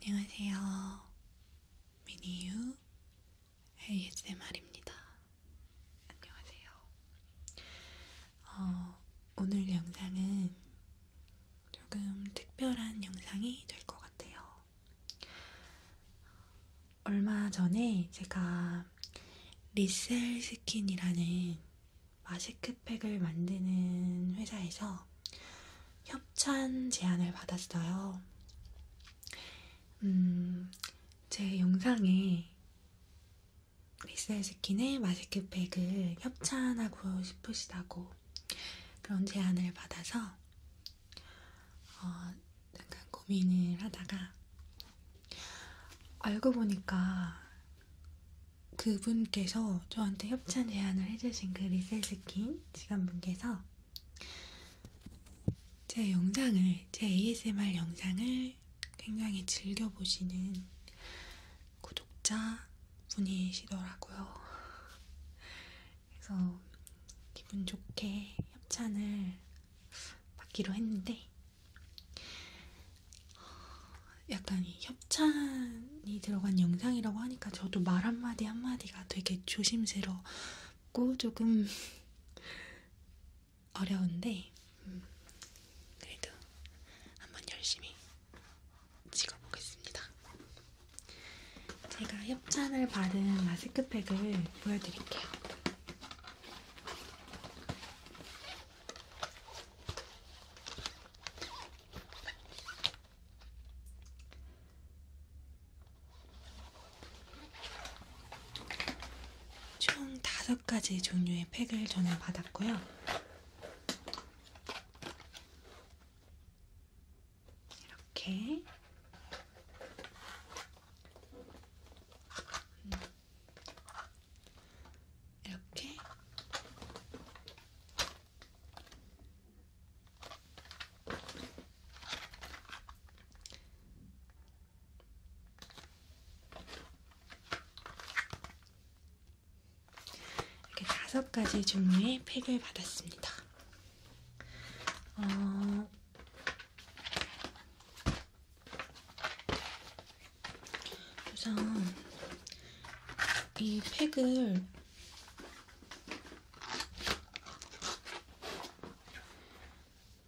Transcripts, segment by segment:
안녕하세요. 미니유 ASMR입니다. 안녕하세요. 어, 오늘 영상은 조금 특별한 영상이 될 것 같아요. 얼마 전에 제가 제가 리셀 스킨이라는 마스크팩을 만드는 회사에서 협찬 제안을 받았어요. 음, 제 영상에 리셀 스킨의 마스크팩을 협찬하고 싶으시다고 그런 제안을 받아서 어, 잠깐 고민을 하다가 알고 보니까 그분께서 저한테 협찬 제안을 해주신 그 리셀스킨 직원분께서 제 영상을, 제 ASMR 영상을 굉장히 즐겨보시는 구독자 분이시더라고요. 그래서 기분 좋게 협찬을 받기로 했는데 약간 협찬이 들어간 영상이라고 하니까 저도 말 한마디 한마디가 되게 조심스럽고 조금 어려운데 음, 그래도 한번 열심히 찍어보겠습니다. 제가 협찬을 받은 마스크팩을 보여드릴게요. 총 다섯 가지 종류의 팩을 저는 받았고요. 이렇게 음, 이렇게 이렇게 다섯 가지 종류의 팩을 받았습니다. 어, 우선 이 팩을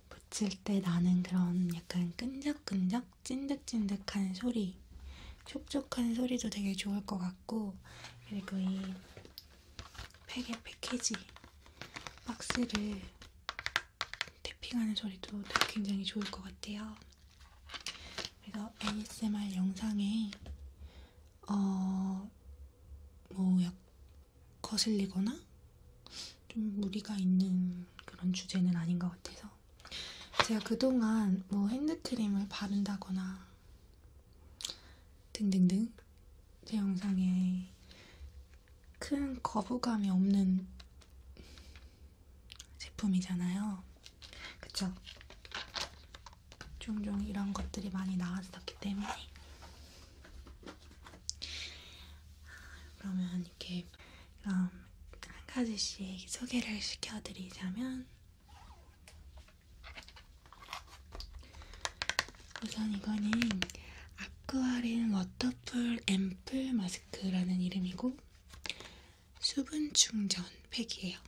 붙일 때 나는 그런 약간 끈적끈적 찐득찐득한 소리 촉촉한 소리도 되게 좋을 것 같고 그리고 이 팩의 패키지 박스를 태핑하는 소리도 굉장히 좋을 것 같아요. 그래서 ASMR 영상에 어, 뭐 약 거슬리거나 좀 무리가 있는 그런 주제는 아닌 것 같아서 제가 그동안 뭐 핸드크림을 바른다거나 등등등 제 영상에 큰 거부감이 없는 제품이잖아요. 그쵸? 종종 이런 것들이 많이 나왔었기 때문에. 그러면 이렇게 그럼 한 가지씩 소개를 시켜드리자면 우선 이거는 아쿠아린 워터풀 앰플 마스크 디스크라는 이름이고 수분 충전 팩이에요.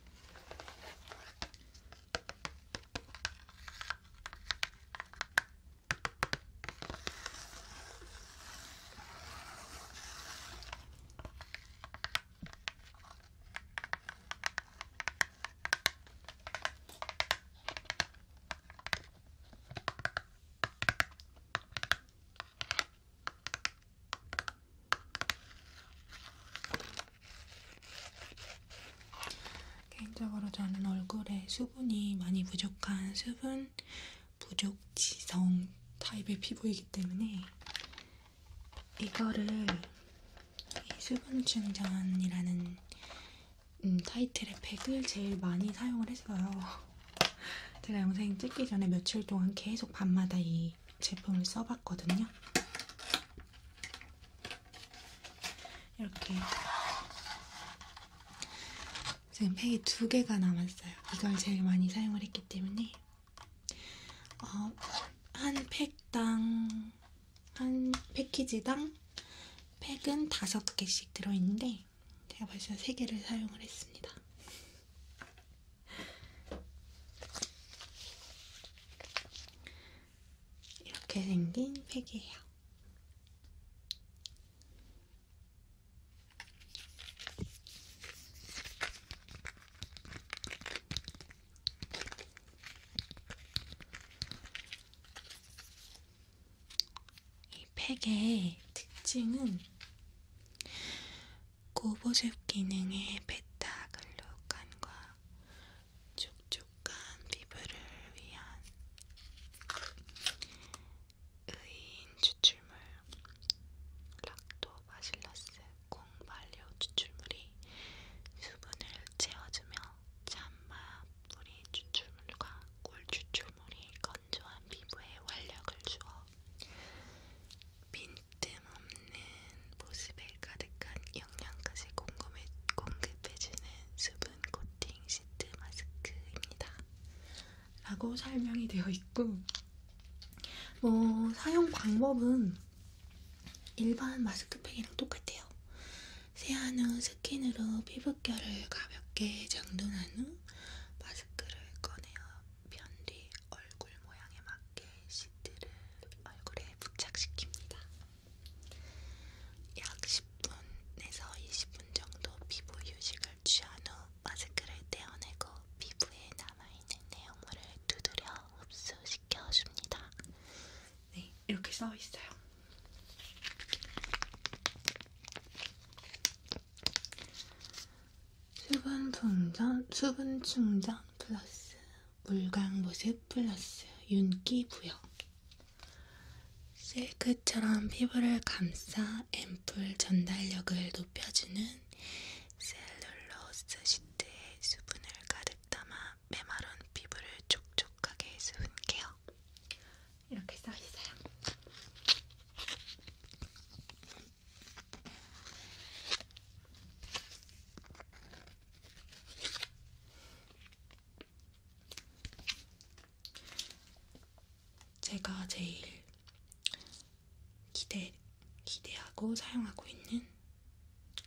개인적으로 저는 얼굴에 수분이 많이 부족한 수분 부족지성 타입의 피부이기 때문에 이거를 이 수분 충전이라는 음, 타이틀의 팩을 제일 많이 사용을 했어요. 제가 영상 찍기 전에 며칠 동안 계속 밤마다 이 제품을 써봤거든요. 이렇게 지금 팩이 두 개가 남았어요. 이걸 제일 많이 사용을 했기 때문에 어, 한 팩당 한 패키지당 팩은 다섯 개씩 들어있는데 제가 벌써 3개를 사용을 했습니다. 이렇게 생긴 팩이에요. 이 팩의 특징은 고보습 기능의 베타 글루칸과 촉촉한 피부를 위한 의인 추출물 락토바실러스 콩발효 추출물이 수분을 채워주며 참마 뿌리 추출물과 꿀 추출물이 건 건조한 피부에 활력을 주어 빈틈없는 모습에 가득한 영양까지 공급해, 공급해주는 수분 코팅 시트 마스크입니다. 라고 설명이 되어 있고 뭐 사용 방법은 일반 마스크팩이랑 똑같아요. 세안 후 스킨으로 피부결을 가볍게 정돈한 후 마스크를 꺼내어 편뒤 얼굴 모양에 맞게 시트를 얼굴에 부착시킵니다. 약 10분에서 20분 정도 피부 휴식을 취한 후 마스크를 떼어내고 피부에 남아있는 내용물을 두드려 흡수시켜줍니다. 네, 이렇게 써있어요. 수분 충전, 수분 충전 플러스 물광 모색 플러스 윤기 부여. 실크처럼 피부를 감싸 앰플 전달력을 높여주는 셀룰로스 시트에 수분을 가득 담아 메마른 피부를 촉촉하게 수분 케어. 이렇게 써 있어요. 제가 제일 기대, 기대하고 사용하고 있는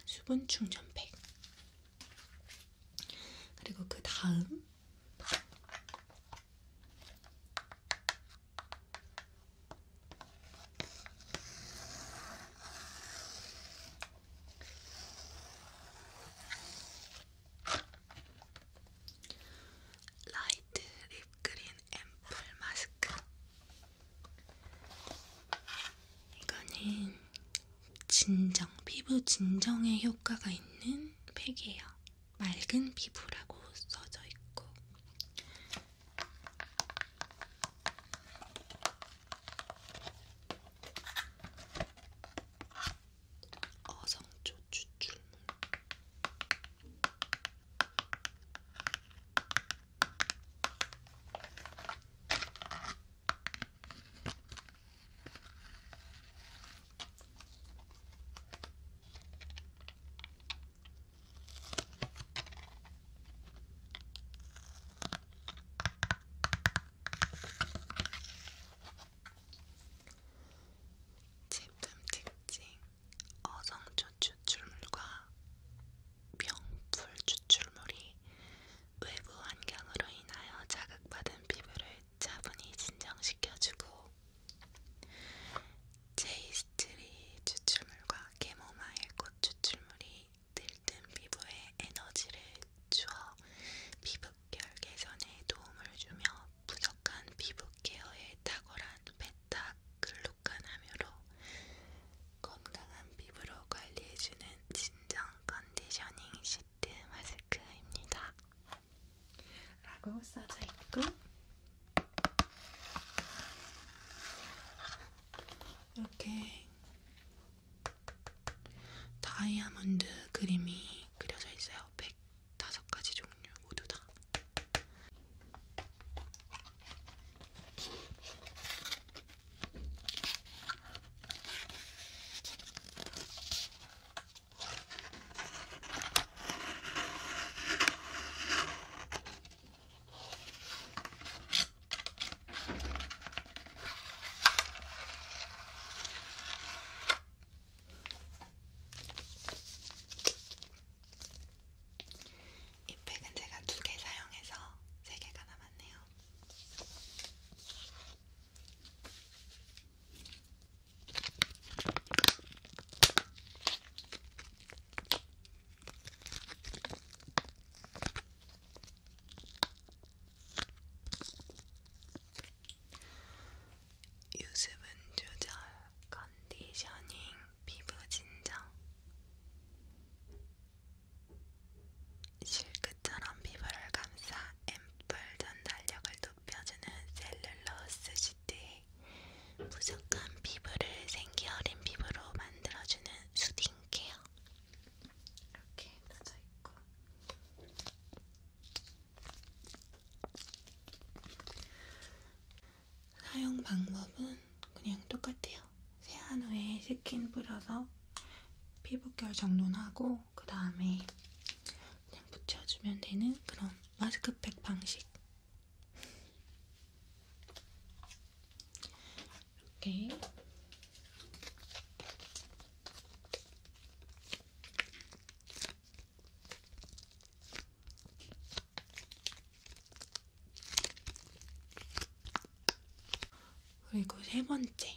수분 충전팩. 그리고 그 다음 라이트 립그린 앰플 마스크 이거는 진정, 피부 진정에 효과가 있는 팩이에요. 맑은 피부라고 써져 있고 어성초 추출물 제품 특징 어성초 추출물과 명풀 추출물이 외부 환경으로 인하여 자극받은 피부를 차분히 진정시켜주고 제이스트리 추출물과 캐모마일 꽃 추출물이 들뜬 피부에 에너지를 주어 피부결 개선에 도움을 주며 부족한 피부 케어에 탁월한 베타 글루칸 함유로 건강한 피부로 관리해주는 진정 컨디셔닝 시트 마스크입니다. 라고 써져 있고 이렇게 다이아몬드 그림이 그려져 있어요. 105가지 종류 모두 다. 이 팩은 제가 두 개 사용해서 세 개가 남았네요. 유습은 조절, 컨디셔닝, 피부 진정. 실크처럼 피부를 감싸 앰플 전달력을 높여주는 셀룰로스 시트에 부족한 피부를 생기 어린 피부로 만들어주는 수딩 케어. 이렇게 놔져 있고. 사용 방법은 그냥 똑같아요. 세안 후에 스킨 뿌려서 피부결 정돈하고 그 다음에 그냥 붙여주면 되는 그런 마스크팩 방식. 이렇게 그리고 세 번째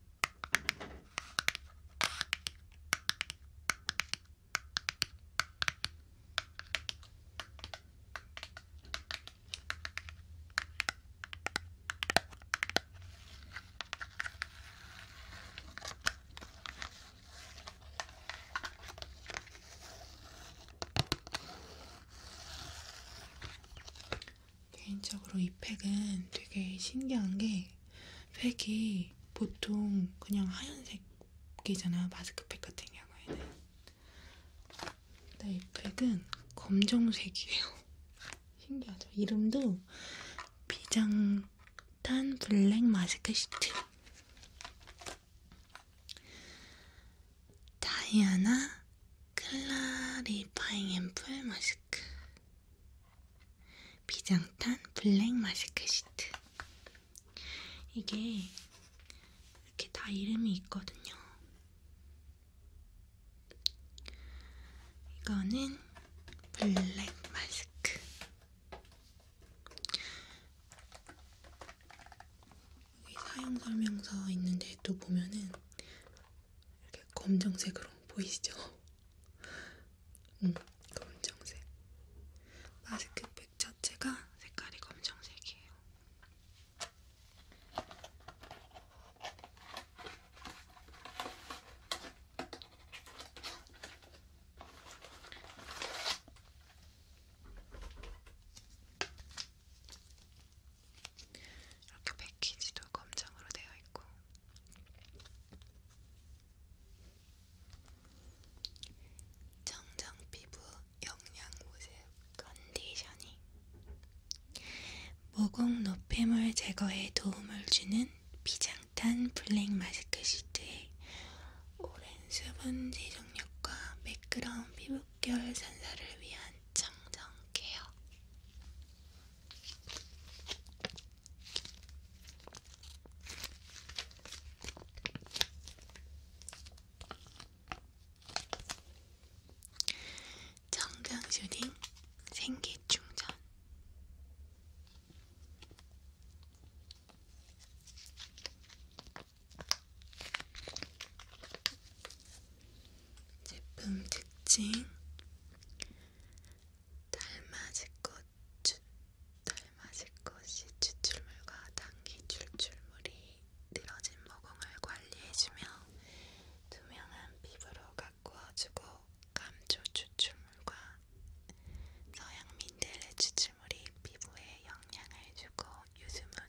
개인적으로 이 팩은 되게 신기한 게 팩이 보통 그냥 하얀색이잖아 마스크팩 같은 경우에는 근데 이 팩은 검정색이에요 신기하죠? 이름도 비장탄 블랙 마스크 시트 다이아나 클라리파잉 앰플 마스크 비장탄 블랙 마스크 시트. 이게 이렇게 다 이름이 있거든요. 이거는 블랙 마스크. 여기 사용 설명서 있는데 또 보면은 이렇게 검정색으로 보이시죠? 음, 검정색. 마스크팩 자체가 색깔이 검정색이에요. 이렇게 패키지도 검정으로 되어 있고 정장 피부 영양 보습 컨디셔닝 모공 노폐물 제거에 도움을 주는 비장탄 블랙 마스크 시트에 오랜 수분지 정력과 매끄러운 피부결 산사를 위한 청정 케어 정강 슈딩 생기 충전 제품 특징 달맞이꽃 고추 닮아실 것이 추출물과 당기 출출물이 늘어진 모공을 관리해주며 투명한 피부로 가꾸어주고 감초 추출물과 서양 민들레 추출물이 피부에 영향을 주고 유수분,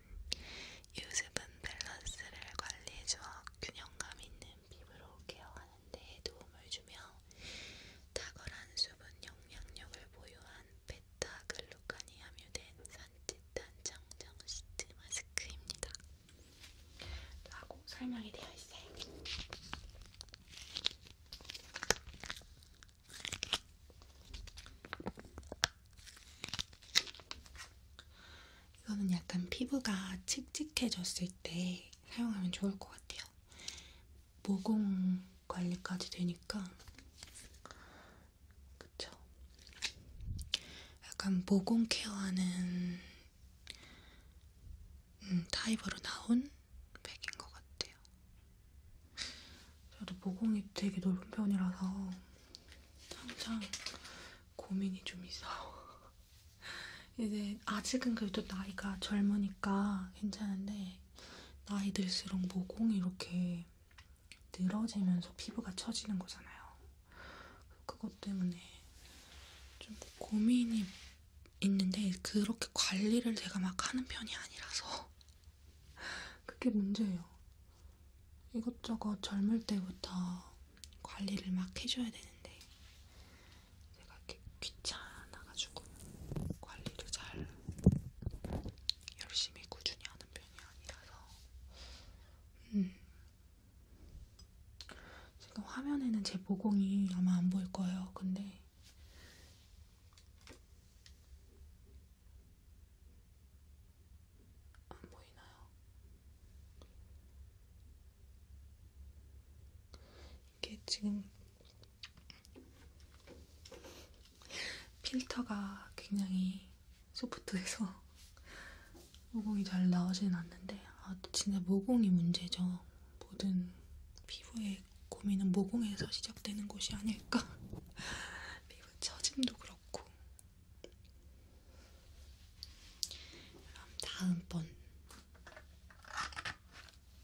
유수분 밸런스를 관리해주어 균형감 있는 피부로 케어할 하는 네, 데 도움을 주며 탁월한 수분 영향력을 보유한 베타글루칸이 함유된 산뜻한 정정 시트 마스크입니다. 라고 설명이 되어 있어요. 이거는 약간 피부가 칙칙해졌을 때 사용하면 좋을 것 같아요. 모공 관리까지 되니까 그쵸? 약간 모공 케어하는 음, 타입으로 나온 백인 것 같아요. 저도 모공이 되게 넓은 편이라서 항상 고민이 좀 있어요. 이제 아직은 그래도 나이가 젊으니까 괜찮은데 나이 들수록 모공이 이렇게 늘어지면서 피부가 처지는 거잖아요. 그것 때문에 좀 고민이 있는데 그렇게 관리를 제가 막 하는 편이 아니라서 그게 문제예요. 이것저것 젊을 때부터 관리를 막 해줘야 되는데 제가 이렇게 귀찮아가지고 관리를 잘 열심히 꾸준히 하는 편이 아니라서 음. 지금 화면에는 제 모공이 아마 안 보일 거예요. 근데 안 보이나요? 이게 지금 필터가 굉장히 소프트해서 모공이 잘 나오진 않는데 아 진짜 모공이 문제죠. 모든 피부의 고민은 모공에서 시작되는 것이 아닐까. 피부 처짐도 그렇고. 그럼 다음번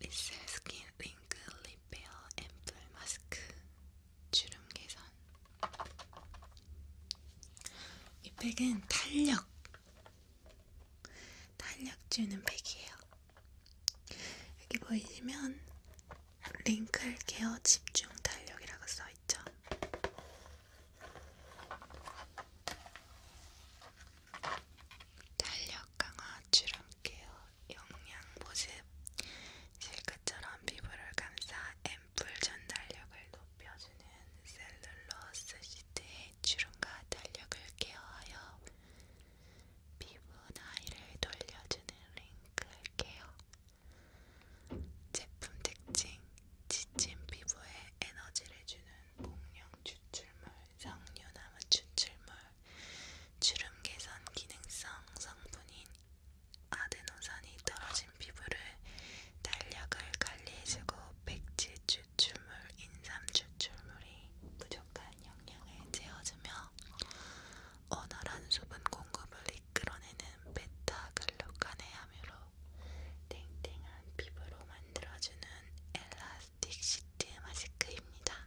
리셀 스킨 윙크 립베어 앰플 마스크 주름 개선 이 팩은 탄력 탄력주는 팩이에요. 여기 보이시면 링클 케어 집중 탄력이라고 써있죠. 탄력 강화 주름 케어 영양 보습 실크처럼 피부를 감싸 앰플 전달력을 높여주는 셀룰로스 시트에 주름과 탄력을 케어하여 피부 나이를 돌려주는 링클 케어 제품 특징 지친 피부에 에너지를 주는 공룡 추출물, 석류나무 추출물, 주름 개선 기능성 성분인 아데노산이 떨어진 피부를 탄력을 관리해주고 백질 추출물, 인삼 추출물이 부족한 영양을 채워주며 원활한 수분 공급을 이끌어내는 베타글루칸의 함유로 탱탱한 피부로 만들어주는 엘라스틱 시트 마스크입니다.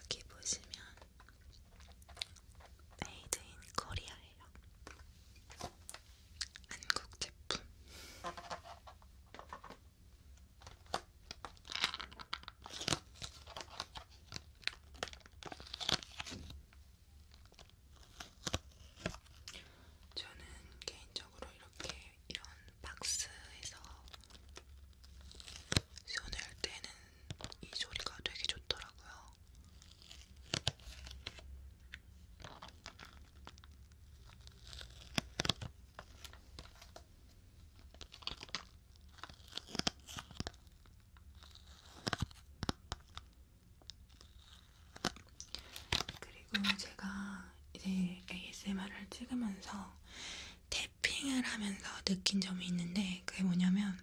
여기 보시면 메이드 인 코리아예요. 한국 제품. 저는 개인적으로 이렇게 이런 박스에서 손을 떼는 이 소리가 되게 좋더라고요. 그리고 제가 이제 ASMR을 찍으면서 태핑을 하면서 느낀 점이 있는데 그게 뭐냐면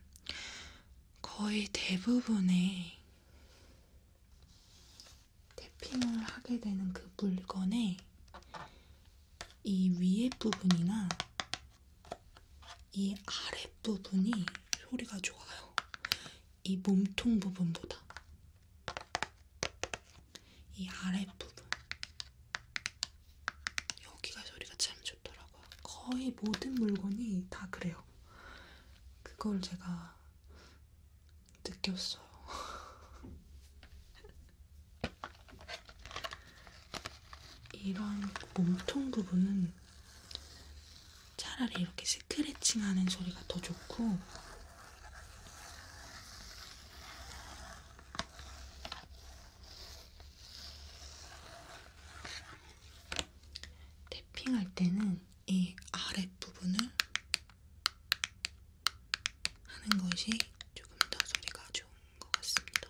거의 대부분의 태핑을 하게 되는 그 물건의 이 위에 부분이나 이 아랫 부분이 소리가 좋아요. 이 몸통 부분보다 이 아랫부분 여기가 소리가 참 좋더라고요. 거의 모든 물건이 다 그래요. 그걸 제가 느꼈어요. 이런 몸통 부분은 차라리 이렇게 스크래칭하는 소리가 더 좋고 탭핑할 때는 이 아랫부분을 하는 것이 조금 더 소리가 좋은 것 같습니다.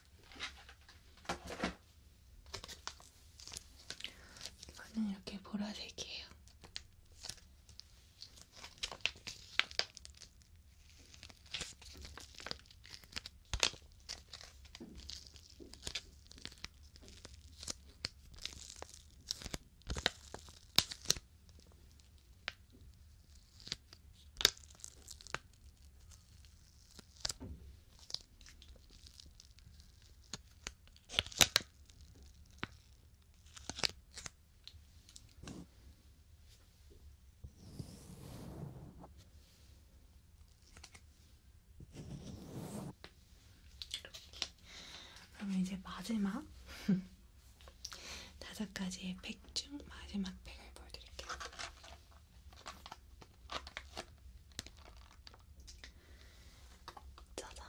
이거는 이렇게 보라색이에요. 그러면 이제 마지막 다섯 가지의 팩 중 마지막 팩을 보여드릴게요. 짜잔!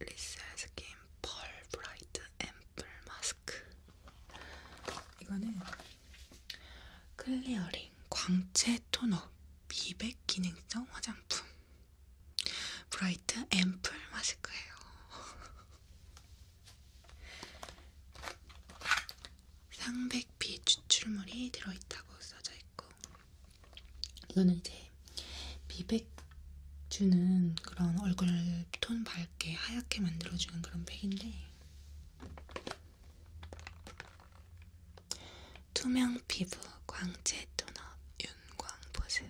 리셀 스킨 펄 브라이트 앰플 마스크. 이거는 클리어링 광채 토너 미백 기능성 화장품 브라이트 앰플 마스크예요. 상백비 추출물이 들어있다고 써져 있고 이거는 이제 미백주는 그런 얼굴 톤 밝게 하얗게 만들어주는 그런 백인데 투명 피부 광채 톤업 윤광 보습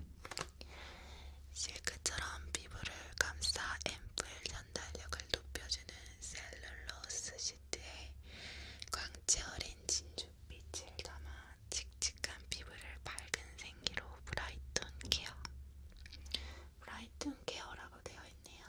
실크처럼 피부를 감싸 앰플 전달력을 높여주는 셀룰로스 시때 광채 어린 진주빛을 담아 칙칙한 피부를 밝은 생기로 브라이톤 케어 브라이톤 케어라고 되어 있네요.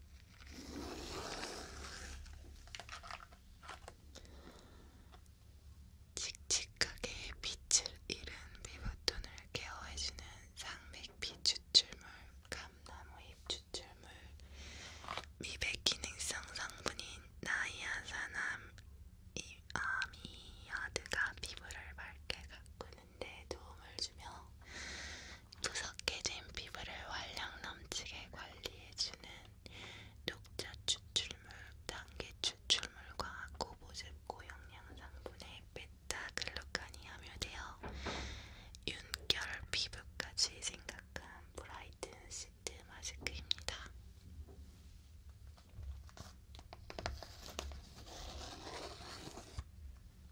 칙칙하게 빛을 잃은 피부톤을 케어해주는 상맥비 추출물, 감나무잎 추출물, 미백 기능성 성분인 나이아산암 아미아드가 피부를 밝게 가꾸는 하는데 도움을 주며 푸석해진 피부를 활력 넘치게 관리해주는 녹차 추출물, 당기 추출물과 고보습고 영양성분의 베타글루칸이 함유되어 윤결 피부까지 생각한 브라이튼 시트 마스크입니다.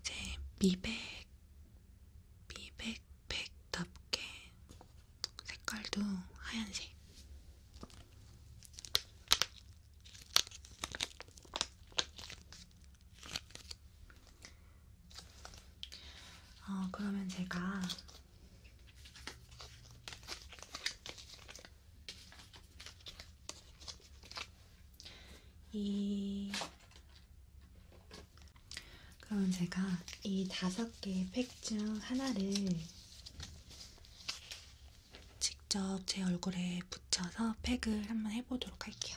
이제 미백, 미백팩답게 색깔도 하얀색. 어, 그러면 제가 이 그럼 제가 이 다섯 개의 팩 중 하나를 직접 제 얼굴에 붙여서 팩을 한번 해보도록 할게요.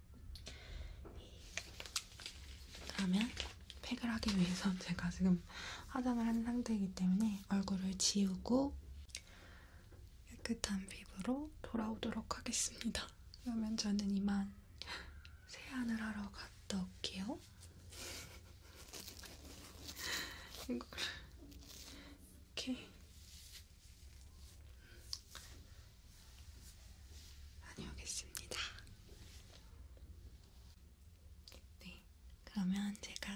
그러면 팩을 하기 위해서 제가 지금 화장을 한 상태이기 때문에 얼굴을 지우고 깨끗한 피부로 돌아오도록 하겠습니다. 그러면 저는 이만 세안을 하러 갔다 올게요. 이거를 이렇게 다녀오겠습니다. 네, 그러면 제가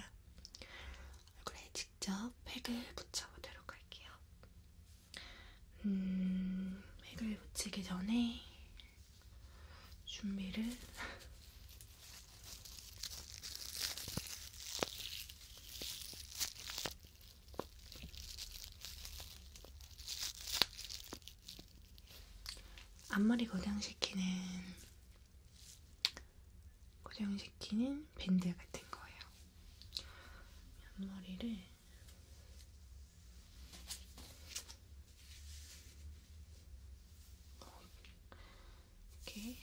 얼굴에 직접 팩을 붙여보도록 할게요. 음, 팩을 붙이기 전에 준비를 앞머리 고정시키는 고정시키는 밴드 같은 거예요. 앞머리를 이렇게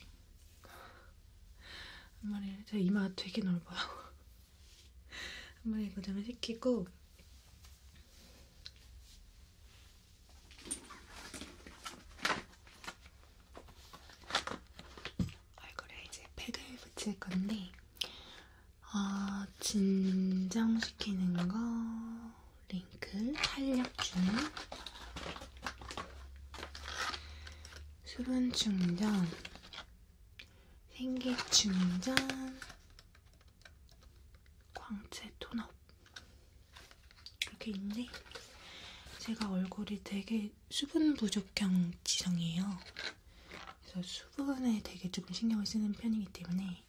앞머리를 제 이마 되게 넓어요. 한번에 고정을 시키고 얼굴에 이제 팩을 붙일 건데 어, 진정시키는 거 링클 탄력 주는 수분 충전 생기 충전 광채 톤업 이렇게 있는데 제가 얼굴이 되게 수분 부족형 지성이에요. 그래서 수분에 되게 조금 신경을 쓰는 편이기 때문에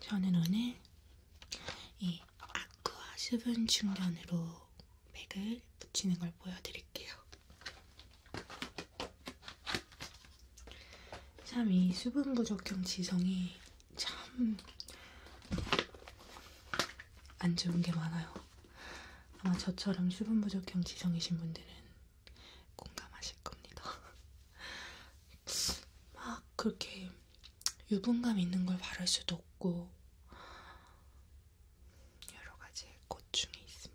저는 오늘 이 아쿠아 수분 충전으로 백을 붙이는 걸 보여드릴게요. 참이 수분 부족형 지성이 참 안 좋은 게 많아요. 아마 저처럼 수분 부족형 지성이신 분들은 공감하실 겁니다. 막 그렇게 유분감 있는 걸 바를 수도 없고 여러 가지 꽃 중에 있습니다.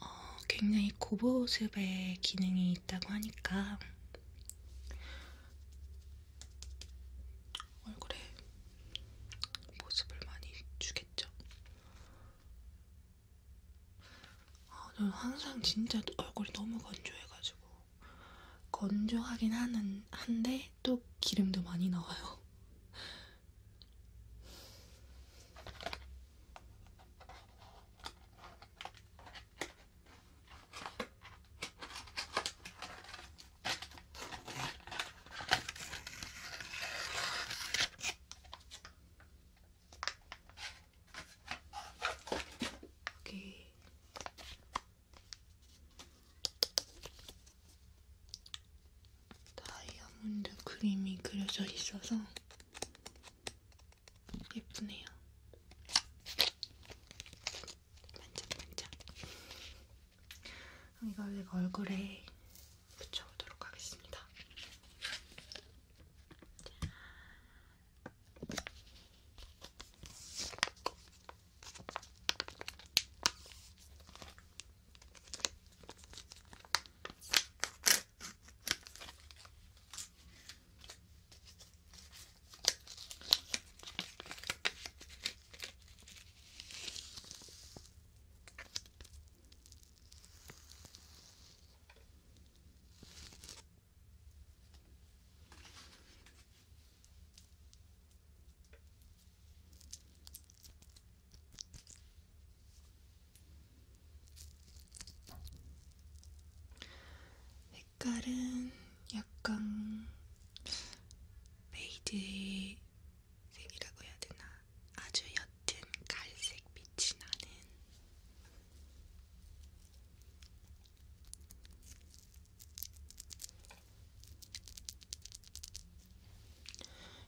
어, 굉장히 고보습의 기능이 있다고 하니까 얼굴에 모습을 많이 주겠죠. 아, 저는 항상 진짜 얼굴이 너무 건조해가지고 건조하긴 하는 한데 또 기름도 많이 나와요. 여기 다이아몬드 그림이 그려져 있어서 예쁘네요. 반짝반짝. 이걸 내가 얼굴에 붙여보도록 하겠습니다. 색깔은 약간 메이드의 색이라고 해야 되나? 아주 옅은 갈색 빛이 나는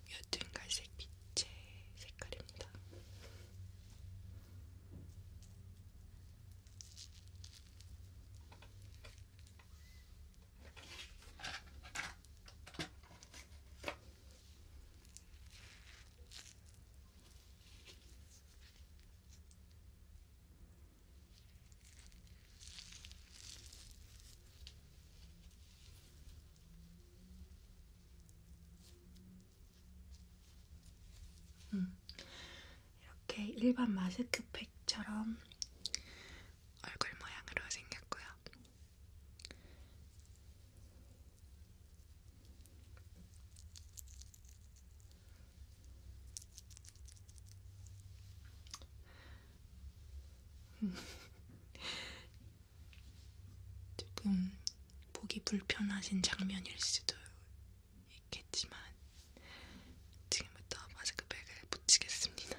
옅은 갈색 빛의 색깔입니다. 음, 이렇게 일반 마스크팩처럼 얼굴 모양으로 생겼고요. 음. 조금 보기 불편하신 장면일 수도 있겠지만 지금부터 마스크팩을 붙이겠습니다.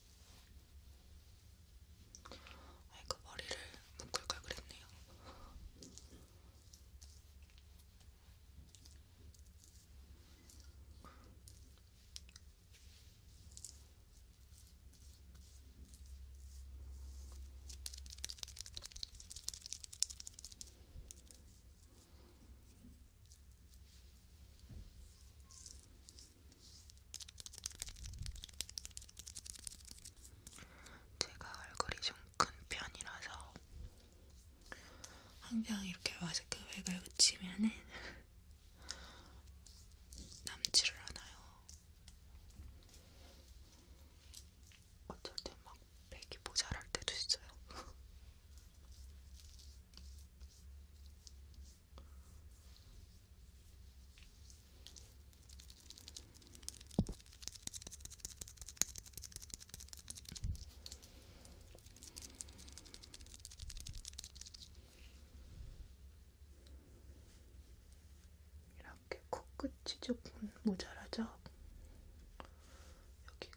아이고 머리를 묶을 걸 그랬네요. 제가 얼굴이 좀 큰 편이라서 항상 이렇게 마스크 팩을 붙이면은 남지를 않아요. 어쩔 땐막 팩이 모자랄 때도 있어요. 이렇게 코끝이 조금 모자라죠? 여기가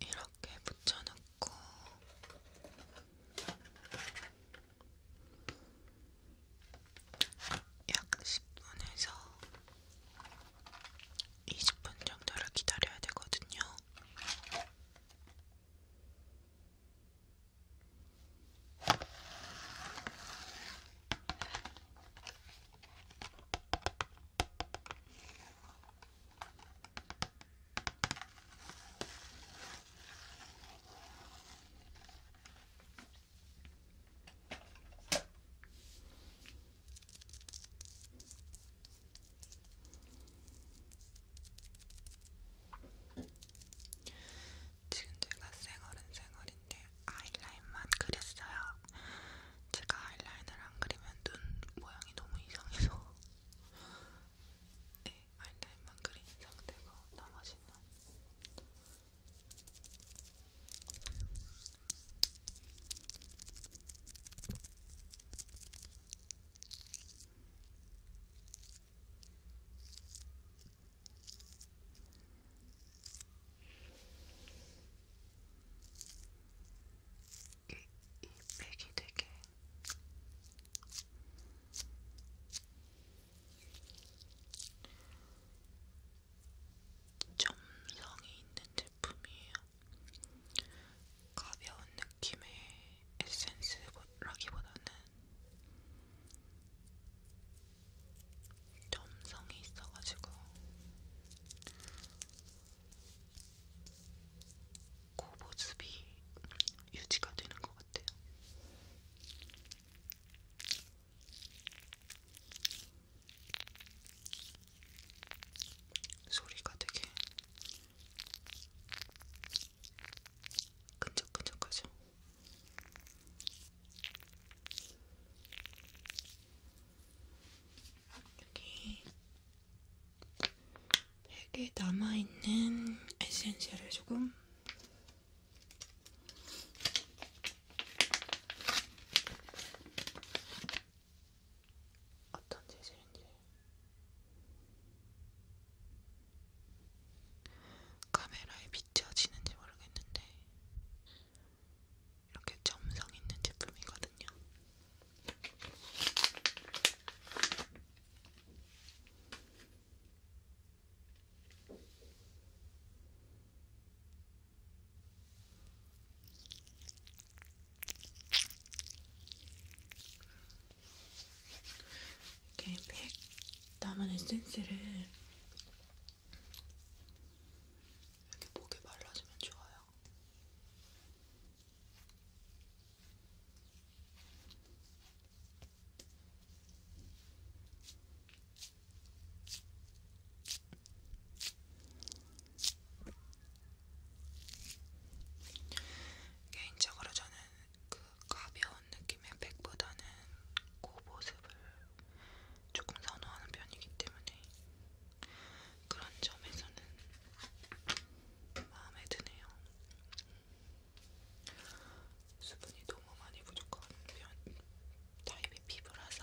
이렇게 붙여놓고 있고 약 10분에서 20분 정도를 기다려야 되거든요. 지금 제가 쌩얼은 쌩얼인데 아이라인만 그렸어요. 제가 아이라인을 안 그리면 눈 모양이 너무 이상해서 네, 알라인만 그린 상태고 나머지는 이, 이 백이 되게 점성이 있는 제품이에요. 가벼운 느낌의 에센스라기보다는 점성이 있어가지고 고보습이 그 유지가 되는 것것 같아요. 소리가 되게 끈적끈적하죠. 여기 백에 남아있는 에센셜을 조금 어떤 재질인지 카메라에 비춰지는지 모르겠는데 이렇게 점성 있는 제품이거든요. 이렇게 팩 남은 에센스를 이렇게 목에 발라주면 좋아요. 개인적으로 저는 그 가벼운 느낌의 백보다는 고보습을 그 조금 선호하는 편이기 때문에 그런 점에서는 마음에 드네요. 수분이 너무 많이 부족한 편, 타입의 피부라서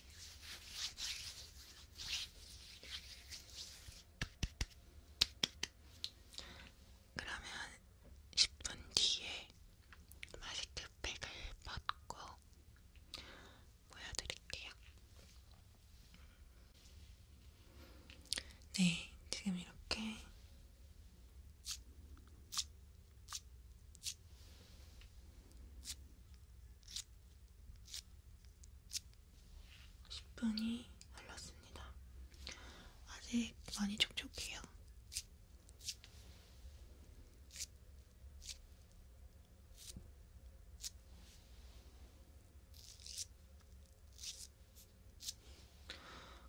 그러면 10분 뒤에 마스크팩을 벗고 보여드릴게요. 네, 지금 이렇게 10분이 흘렀습니다. 아직 많이 촉촉해요.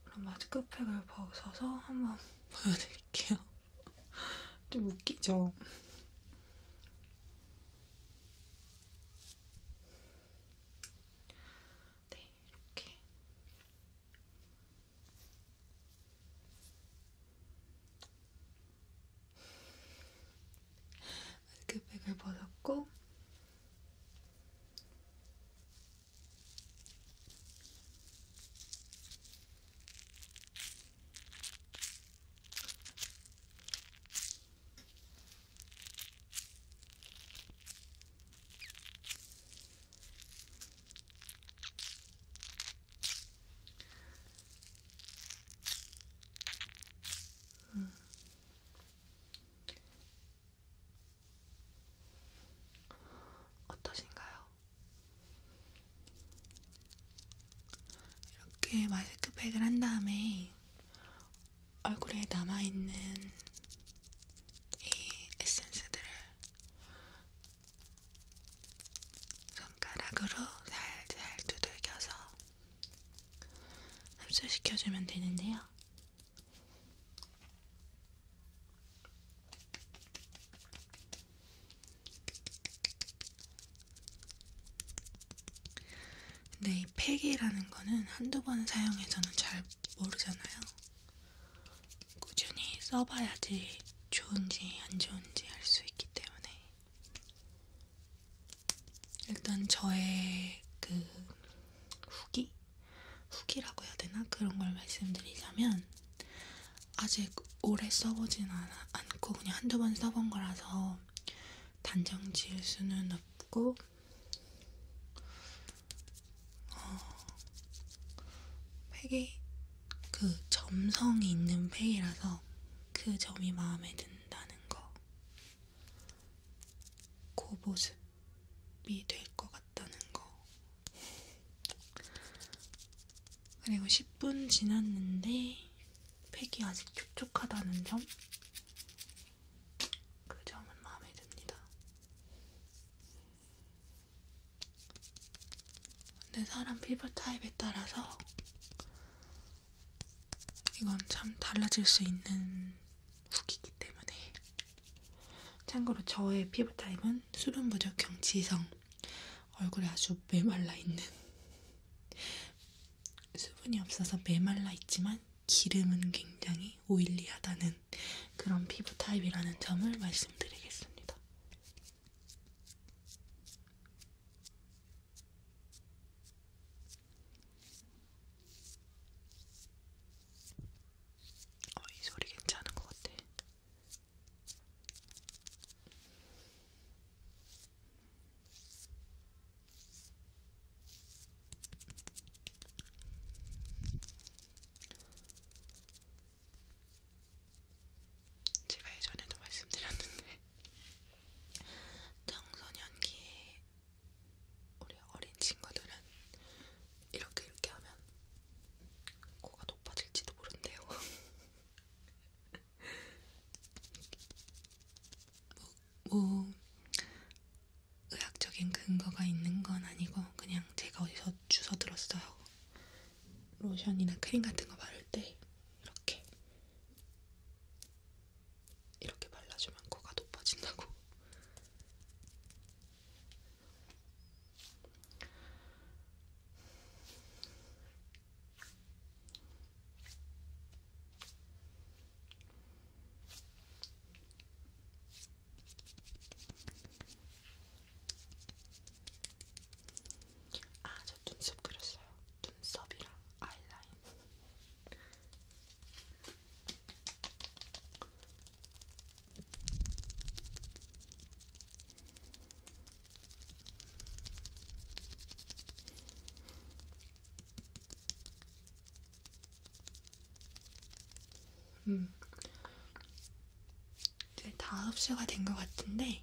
그럼 마스크팩을 벗어서 한번 보여드릴게요. 좀 웃기죠? 네, 이렇게. 마스크팩을 벗었고, 음. 어떠신가요? 이렇게 마스크팩을 한 다음에 얼굴에 남아있는 이 에센스들을 손가락으로 살살 두들겨서 흡수시켜주면 되는데요. 근데 이 팩이라는 거는 한두 번 사용해서는 잘 모르잖아요. 꾸준히 써봐야지 좋은지 안 좋은지 알 수 있기 때문에. 일단 저의 그 후기? 후기라고 해야 되나? 그런 걸 말씀드리자면, 아직 오래 써보진 않아, 않고 그냥 한두 번 써본 거라서 단정 지을 수는 없고 어, 페이 그 점성이 있는 페이라서 그 점이 마음에 든다는 거그 모습이 될 것 같다는 거 그리고 10분 지났는데 팩이 아직 촉촉하다는 점? 그 점은 마음에 듭니다. 근데 사람 피부 타입에 따라서 이건 참 달라질 수 있는 후기이기 때문에 참고로 저의 피부 타입은 수분 부족 경치성 얼굴에 아주 메말라 있는 수분이 없어서 메말라 있지만 기름은 굉장히 오일리하다는 그런 피부 타입이라는 점을 말씀드리겠습니다. 어, 이 소리 괜찮은 것 같아. 제가 예전에도 말씀드렸는데 청소년기에 우리 어린 친구들은 이렇게 이렇게 하면 코가 높아질지도 모른대요. 뭐, 뭐 의학적인 근거가 있는 건 아니고 그냥 제가 어디서 주워 들었어요. 로션이나 크림 같은 거 바를 때 이렇게 이렇게 발라주면 코가 높아진다고. 아, 저 눈썹 그렸어요. 눈썹이랑 아이라인. 음, 이제 다 흡수가 된 것 같은데,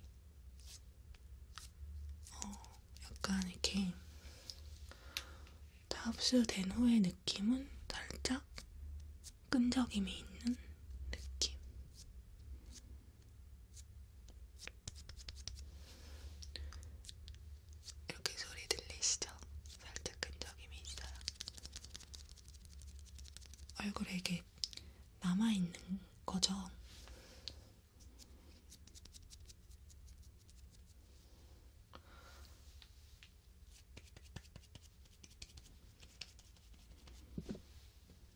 어, 약간 이렇게 다 흡수된 후의 느낌은 살짝 끈적임이 있는 느낌. 이렇게 소리 들리시죠? 살짝 끈적임이 있어요. 얼굴에 이게 남아있는 거죠?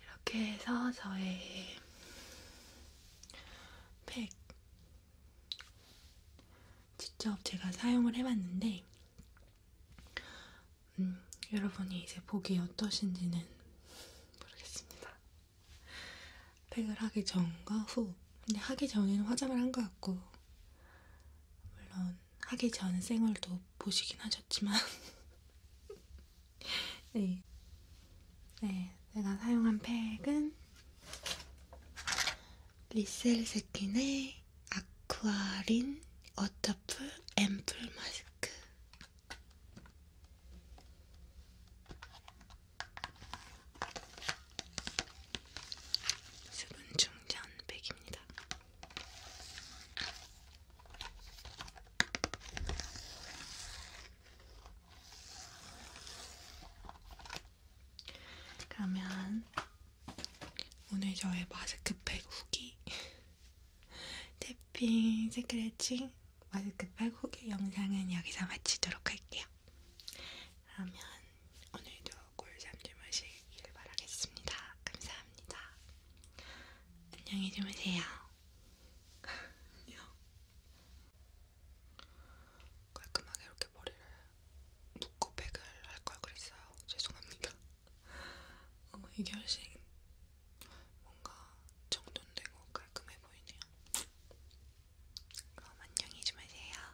이렇게 해서 저의 팩 직접 제가 사용을 해봤는데 음, 여러분이 이제 보기 어떠신지는 모르겠습니다. 팩을 하기 전과 후 근데 하기 전에는 화장을 한 것 같고 물론 하기 전 생얼도 보시긴 하셨지만 네. 네, 내가 사용한 팩은 리셀세킨의 아쿠아린 워터풀 앰플 마스크 수분 충전 백입니다. 그러면 오늘 저의 마스크팩 후기 태핑 스크래칭 마스크팩 후기 영상은 여기서 마치도록 할게요. 그러면 오늘도 꿀잠 주무시길 바라겠습니다. 감사합니다. 안녕히 주무세요. 안녕. 깔끔하게 이렇게 머리를 묶고 팩을 할 걸 그랬어요. 죄송합니다. 어, 이게 훨씬 뭔가 정돈되고 깔끔해 보이네요. 그럼 안녕히 주무세요.